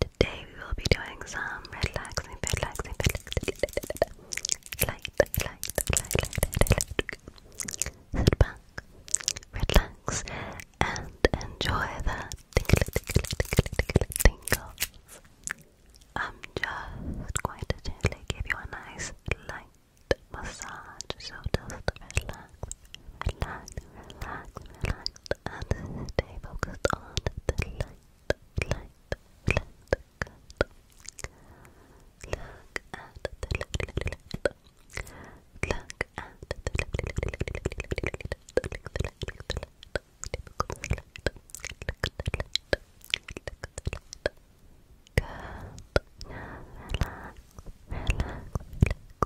Today we will be doing some relaxing, relaxing, relaxing, light, light, light, light, light, light. Sit back, relax, and enjoy the tinkle, tinkle, tinkle, tinkle, tingles. I'm just going to gently give you a nice light massage, so just relax, relax, relax, relax at this focused on the light, light, light cut. Look at the light, light. Look at the light, light. Good. Now relax, relax, relax,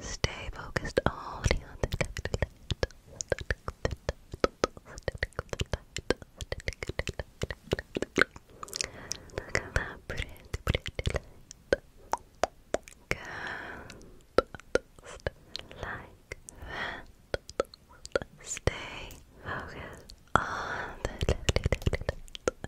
Stay focused only on the Look at that pretty, pretty light. like that. Stay focused on the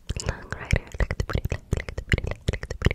long rider. Just like that. Just like that.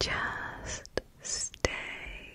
Just stay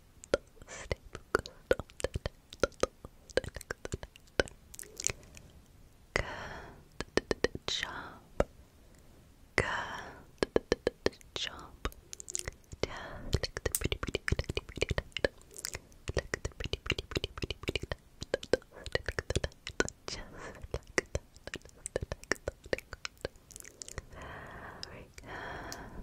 Good job. Good job. Yeah,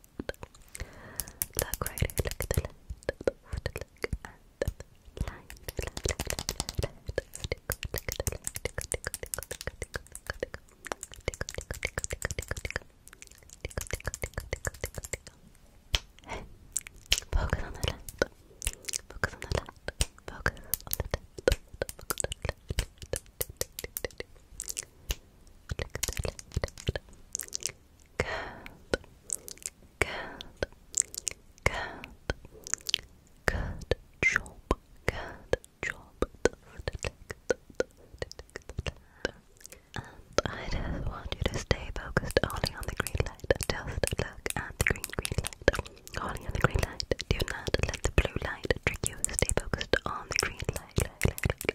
Look right here, look at the left, look at the line, left, left, left, left, left, tickle, tickle, the left, tickle, tickle, tickle, tickle, tickle, tickle, tickle, tickle, tickle, tickle, tickle, tickle, tickle, tickle, tickle, tickle, tickle, tickle. Hey, focus on the left, focus on the left, focus on the left, focus on the left, Look at the left, look at the left, Good. Good. Good. Good job. Good job. And I just want you to stay focused only on the green light. Just look at the green green light. Only on the green light. Do not let the blue light trick you. Stay focused on the green light. light, light, light,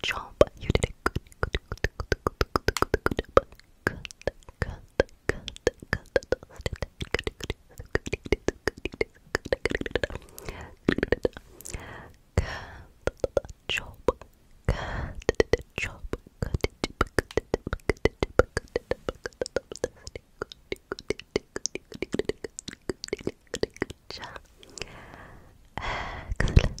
Chomp. You did it good. Good. Good. Good. Good. Good. Good. Cut. Cut. Cut. Cut. Chop, cut, chop, cut, excellent,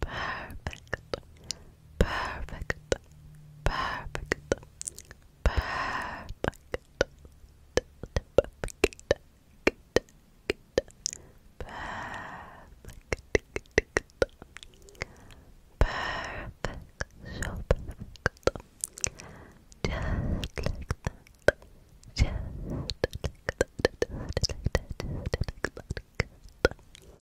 perfect, perfect, perfect, perfect, perfect. Perfect. Perfect. So perfect. Just like that. Just like that.